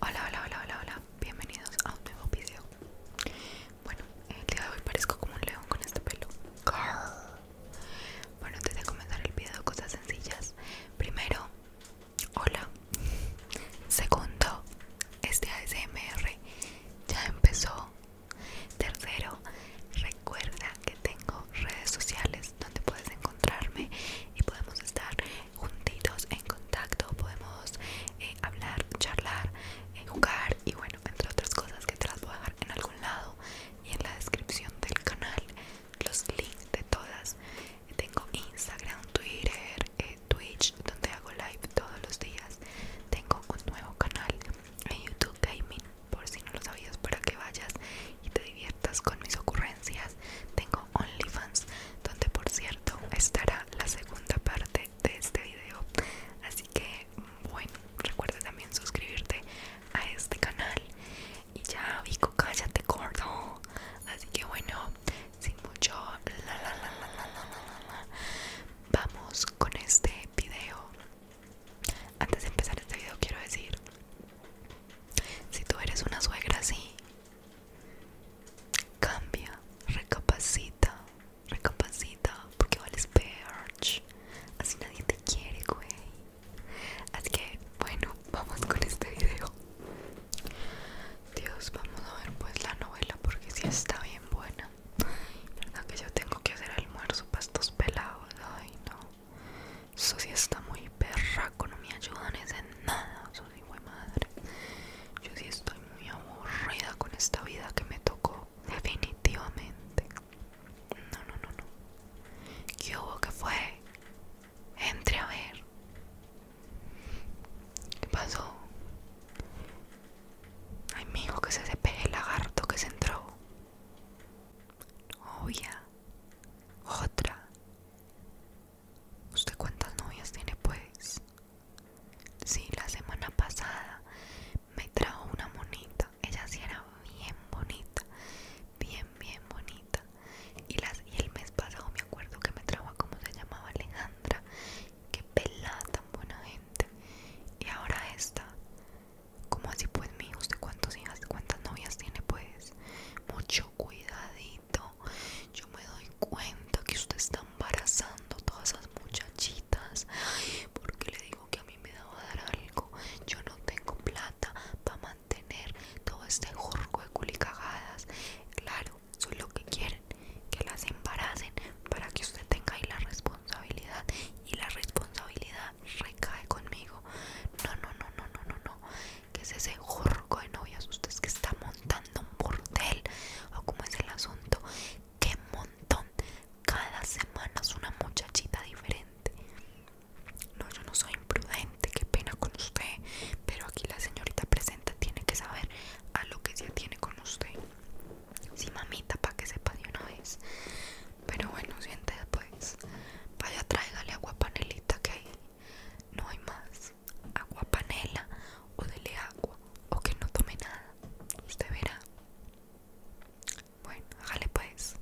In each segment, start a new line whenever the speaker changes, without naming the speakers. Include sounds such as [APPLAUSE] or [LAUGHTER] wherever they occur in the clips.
Hola, hola, hola, hola, hola, bienvenidos a un nuevo video Bueno, el día de hoy parezco como un león con este pelo Bueno, antes de comenzar el video, cosas sencillas Primero, hola Segundo, este ASMR ya empezó Tercero, recuerda que tengo redes sociales donde puedes encontrar encontrarme y podemos estar juntitos en contacto, podemos eh, hablar, charlar, eh, jugar y bueno, entre otras cosas que te las voy a dejar en algún lado y en la descripción del canal los links de todas. Tengo Instagram, Twitter, eh, Twitch, donde hago live todos los días. Tengo un nuevo canal en YouTube Gaming, por si no lo sabías, para que vayas y te diviertas con mis ocurrencias. Tengo OnlyFans, donde por cierto estará la segunda parte de este video. Así que bueno, recuerda también suscribirte a este canal. Y ya, Vico, cállate gordo. Así que bueno, sin mucho la la la la vamos con este video. Antes de empezar este video quiero decir, si tú eres una suegra así Cambia, recapacita, recapacita, porque vales perch. Así nadie te quiere, güey. Así que, bueno, [LAUGHS] vamos con este video. Dios, vamos a ver pues la novela porque si está bien buena. verdad que yo tengo que hacer almuerzo para estos pelados. Ay, no. Eso está muy perraco, no me ayudan en nada, ¡soy sí, madre. Yo sí estoy muy aburrida con esta vida que me tocó, definitivamente. No, no, no, no. ¿Qué hubo que fue? Entre a ver. ¿Qué pasó? Ay, mijo, que se ese el lagarto que se entró. Obvia. Otra. ¿Usted cuántas novias tiene pues? Sí, la semana pasada me trajo una monita. Ella sí era bien bonita. Bien, bien bonita. Y, las, y el mes pasado me acuerdo que me trajo a como se llamaba Alejandra. Que pelada tan buena gente. Y ahora esta. ¿Cómo así pues mi ¿Usted cuántos hijas, cuántas novias tiene pues? Mucho cuidadito. Yo me doy cuenta que usted está embarazando todas esas muchachitas. Porque le digo que a mí me a dar algo. Yo no tengo plata para mantener todo este jorco de culicagadas. Claro, soy lo que quieren, que las embaracen para que usted tenga ahí la responsabilidad. Y la responsabilidad recae conmigo. No, no, no, no, no, no, no que es ese jorco de novias? ¿Usted es que está montando un bordel ¿O como es el asunto? ¡Qué montón! Cada semana es una muchachita diferente. No, yo no soy imprudente, qué pena con usted. Pero aquí la señorita presenta tiene que saber a lo que se tiene con usted. Si mamita, para que sepa de una vez. Pero bueno, siente después. Vaya, tráigale agua panelita que ahí no hay más. Agua panela o dele agua o que no tome nada. Usted verá. Bueno, jale pues.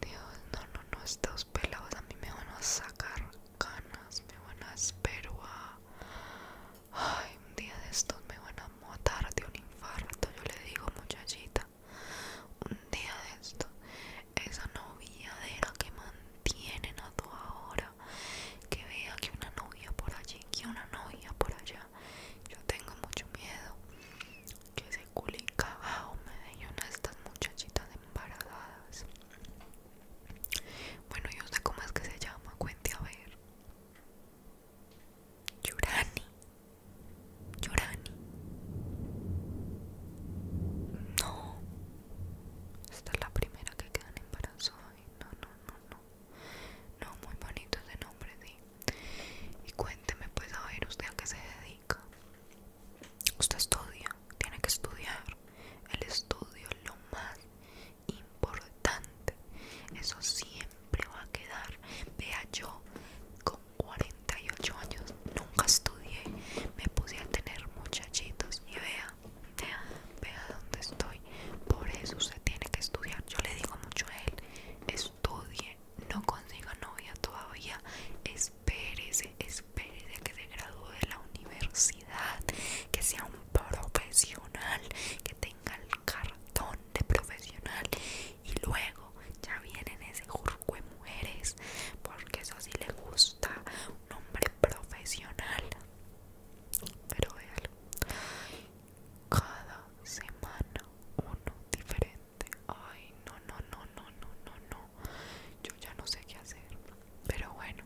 Dios, no, no, no, estos pelados a mí me van a sacar ganas me van a espero a... Ay, un día de estos me van a matar de un infarto, yo le digo muchachita un día de esto esa novia la que mantienen a toda hora que vea que una novia por allí que una novia por allá yo tengo mucho miedo que se culin cagao me den una estas muchachitas embarazadas bueno, yo sé cómo es que se llama, cuente a ver. Yurani. Yurani. No. Esta es la primera que queda en No, no, no, no. No, muy bonito ese nombre, Y cuénteme, pues, a ver, ¿usted a qué se dedica? Usted estudia, tiene que estudiar. El estudio es lo más importante. Eso siempre va a quedar. Vea yo Como 48 años nunca estudié, me puse a tener muchachitos y vea, vea, vea dónde estoy. Por eso usted tiene que estudiar. Yo le digo mucho a él, estudie, no consiga novia todavía, espérese, espérese que se gradúe de la universidad, que sea un profesional, que tenga el cartón de profesional y luego ya vienen ese jurco de mujeres, porque eso sí le gusta un hombre profesional. Pero véalo, cada semana uno diferente. Ay, no, no, no, no, no, no, no. Yo ya no sé qué hacer. Pero bueno,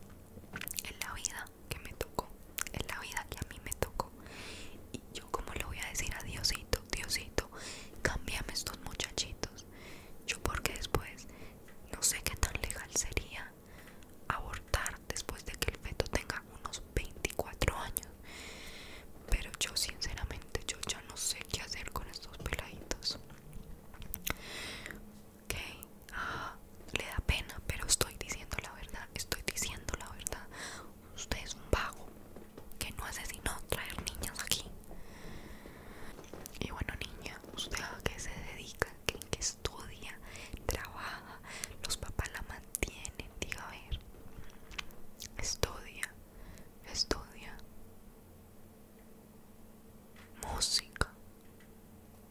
es la vida que me tocó, es la vida que a mí me tocó. Y yo como le voy a decir adiósito Diosito, Diosito, estos muchachitos. Yo porque después no sé qué tan legal sería abortar después de que el feto tenga unos 24 años. Pero yo sinceramente yo ya no sé qué hacer con estos peladitos. Ok, ah, le da pena, pero estoy diciendo la verdad, estoy diciendo la verdad usted es un vago que no hace sino traer niñas aquí. Y bueno, niña, usted a qué se dedica, que estudia, trabaja, los papás la mantienen, diga a ver. Estudia, estudia. Música.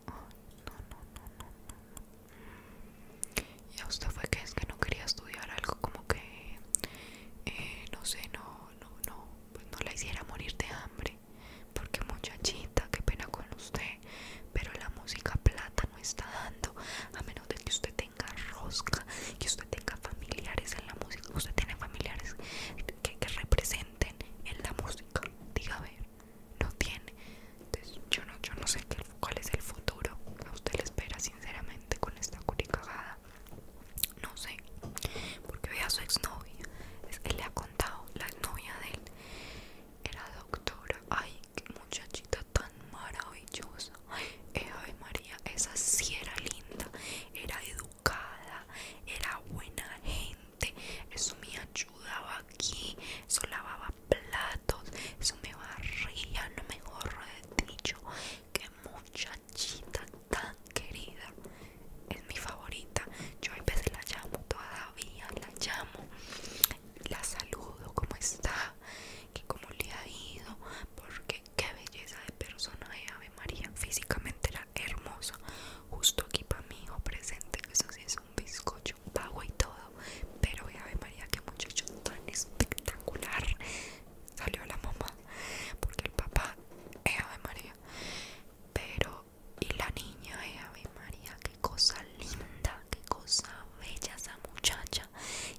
no, no, no, no, no y usted fue que es que no quería estudiar algo como que eh, no sé no no no pues no la hiciera morir de hambre porque muchachita qué pena con usted pero la música plata no está dando a menos de que usted tenga rosca que usted tenga familiares en la música usted tiene familiares que, que representen en la música diga a ver no tiene yo no, yo no sé cuál es el futuro a usted le espera, sinceramente, con esta curicagada. No sé, porque ve a su exnovia. Es que le ha contado, la exnovia de él era doctora. Ay, qué muchachita tan maravillosa. Eh, María, esa sí era linda, era educada, era buena gente. Eso me ayudaba aquí, eso lavaba platos. Eso me barría, lo mejor dicho. Que muchachita tan querida. Es mi favorita. Yo a veces la llamo, todavía la llamo. La saludo, ¿cómo está? Que cómo le ha ido. Porque qué belleza de persona de Ave María. Físicamente era hermosa. Justo aquí para mi hijo presente. Eso sí es un bizcocho pago y todo pero vea ve María que muchacho tan espectacular salió la mamá porque el papá es Ave María pero y la niña es Ave María qué cosa linda qué cosa bella esa muchacha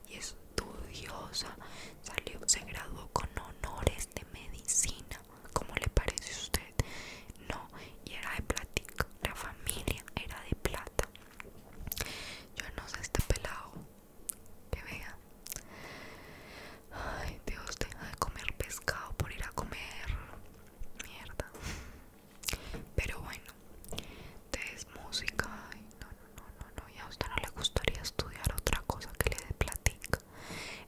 y estudiosa salió se graduó con honores de medicina ¿Cómo le parece a usted? No, y era de plática, la familia era de plata. Yo no sé este pelado que vea. Ay, Dios, deja de comer pescado por ir a comer mierda. Pero bueno, te es música. no, no, no, no, no. a usted no le gustaría estudiar otra cosa que le dé platica.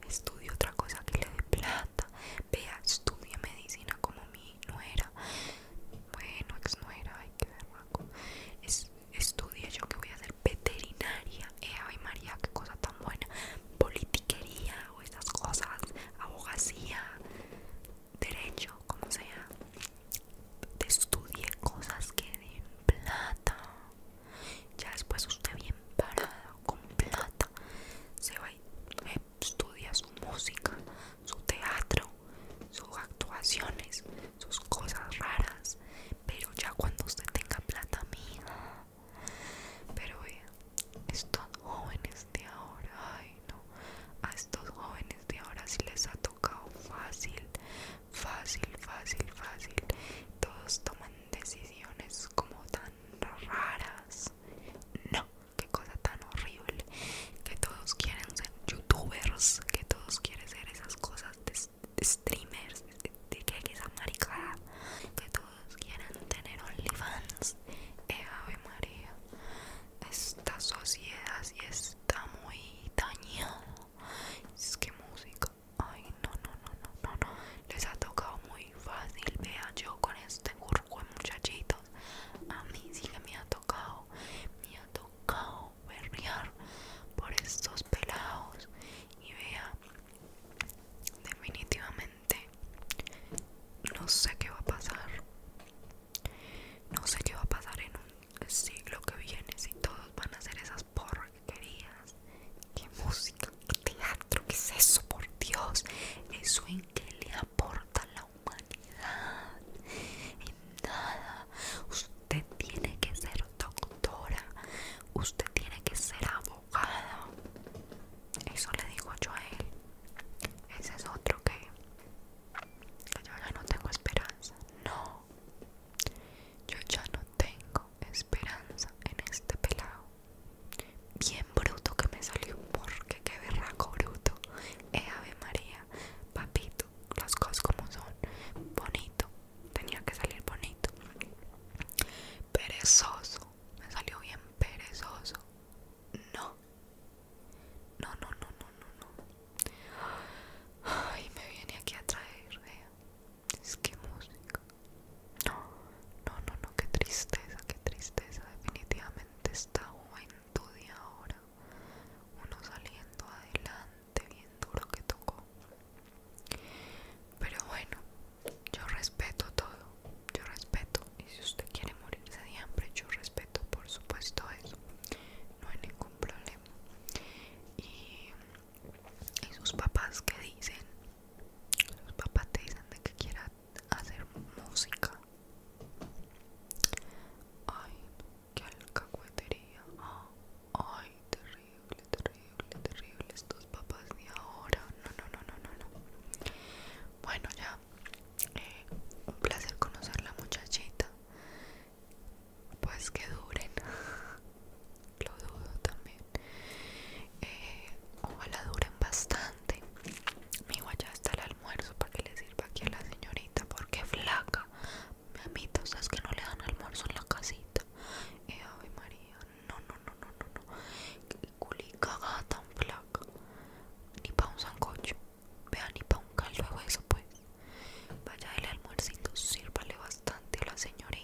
Estudie otra cosa que le dé plata. Vea, estudie medicina como mi nuera, bueno, ex nuera, ay, qué verraco. Es, estudia yo que voy a hacer veterinaria, eh, ay María, qué cosa tan buena. Politiquería o esas cosas, abogacía, derecho, como sea. Te estudie cosas que den plata. Ya después usted bien parado con plata se va estudia su música, su teatro, sus actuaciones, sus cosas raras. Pero ya cuando usted tenga plata mía. Pero vea, estos jóvenes de ahora, ay no, a estos jóvenes de ahora sí les ha tocado fácil, fácil, fácil, fácil. Todos toman decisiones como tan raras. No, qué cosa tan horrible que todos quieren ser youtubers, que todos quieren ser esas cosas de, streamers, de, que esa maricada, que todos quieren tener OnlyFans. Eh, Ave María, esta sociedad sí está muy dañada. Es que música, ay, no, no, no, no, no, no, les ha tocado muy fácil vea yo con este de muchachitos a mí sí que me ha tocado me ha tocado berrear por estos pelados y vea definitivamente no sé qué va a pasar no sé qué va a pasar en un siglo que viene si todos van a hacer esas querías qué música teatro? ¿Qué es eso, por Dios? ¿Eso en qué le aporta la humanidad? En nada. Usted tiene que ser doctora. Usted tiene que ser abogado Eso le digo yo a él. Ese es otro que yo ya no tengo esperanza. No. Yo ya no tengo esperanza en este pelado. Bien bruto que me salió porque qué berraco bruto. Eh, Ave María, papito, las cosas como son. Bonito, tenía que salir bonito. Perezoso, me salió bien perezoso. No, no, no, no, no, no, no. Ay, me viene aquí a traer, Es que música. No, no, no, no, qué tristeza, qué tristeza. Definitivamente está juventud de ahora. Uno saliendo adelante, bien duro que tocó. Pero bueno, yo respeto todo. Yo respeto. Y si usted quiere morirse de hambre, yo respeto, por supuesto, eso. No hay ningún problema. y sus papás que dicen los papás te dicen de que quieras hacer música. Ay, qué alcahuetería. Ay, terrible, terrible, terrible. Estos papás de ahora. No, no, no, no, no, no. Bueno, ya. Eh, un placer conocer la muchachita. Pues que duren. [LAUGHS] Lo dudo también. Eh, ojalá duren bastante mi ya está el almuerzo para que le sirva aquí a la señorita porque flaca mi amita, ¿sabes que no le dan almuerzo en la casita? Eh, ave María, no, no, no, no, no, culi Culicagada tan flaca. Ni pa' un sancocho. Vea, ni para un caldo de hueso, pues. Vaya el almuercito, sírvale bastante a la señorita.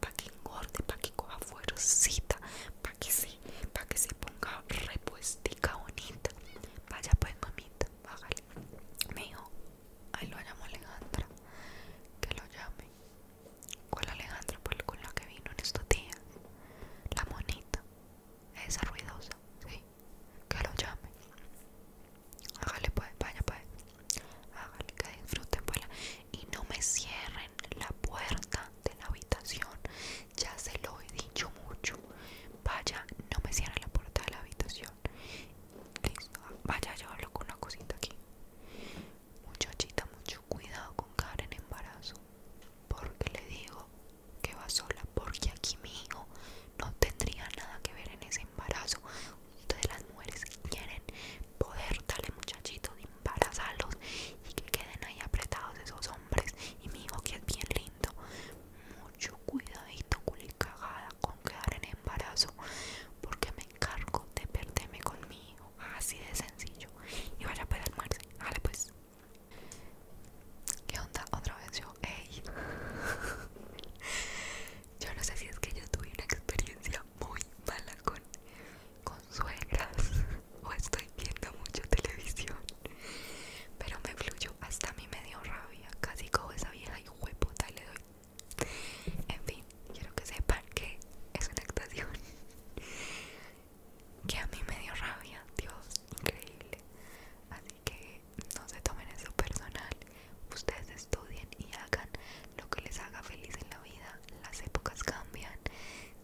Pa' que engorde, pa' que coja fuercita, para que sí para que se ponga repuestica bonita. Vaya pues mamita, bájale. Me ahí lo llamo Alejandra, que lo llame. ¿Cuál Alejandra? Pues con la que vino en estos días. La monita, esa ruidosa, sí, que lo llame. Hágale pues, vaya pues. Hágale que disfruten pues, y no me cierren la puerta de la habitación ya se lo he dicho mucho vaya no me cierren la puerta de la habitación listo ah, vaya yo hablo con una cosita aquí muchachita mucho cuidado con Karen en embarazo porque le digo que va sola porque aquí mi hijo no tendría nada que ver en ese embarazo todas las mujeres quieren poder darle muchachitos, embarazarlos y que queden ahí apretados esos hombres. Y mi hijo que es bien lindo, mucho cuidadito, cagada con quedar en embarazo, porque me encargo de perderme con mi hijo. Así de sencillo. Y vaya pues almuerce, dale, pues. ¿Qué onda? Otra vez yo, ey. [LAUGHS] yo no sé si es que yo tuve una experiencia muy mala con, con [LAUGHS] o estoy viendo mucho televisión pero me fluyó hasta a mí me dio rabia casi como esa vieja y hueputa y le doy en fin quiero que sepan que es una actuación que a mí me dio rabia Dios increíble así que no se tomen eso personal Ustedes estudien y hagan lo que les haga feliz en la vida. Las épocas cambian,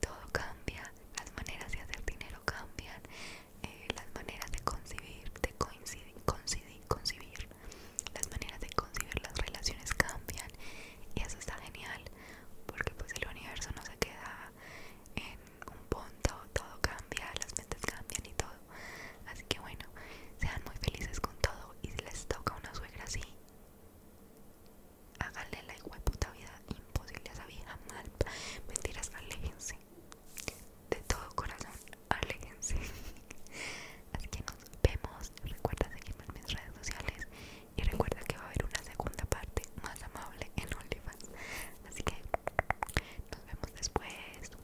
todo cambia, las maneras de hacer dinero cambian, eh, las maneras de concibir de coincidir, las maneras de concibir las relaciones cambian y eso está genial porque pues el universo no se queda en un punto, todo cambia, las mentes cambian y todo Así que bueno, sean muy felices con todo y si les toca una suegra así, háganle la igual puta vida imposible a esa vieja mal. Mentiras, aléjense. De todo corazón, aléjense. [LAUGHS] Así que nos vemos. Recuerda seguirme en mis redes sociales y recuerda que va a haber una segunda parte más amable en OnlyFans. Así que nos vemos después.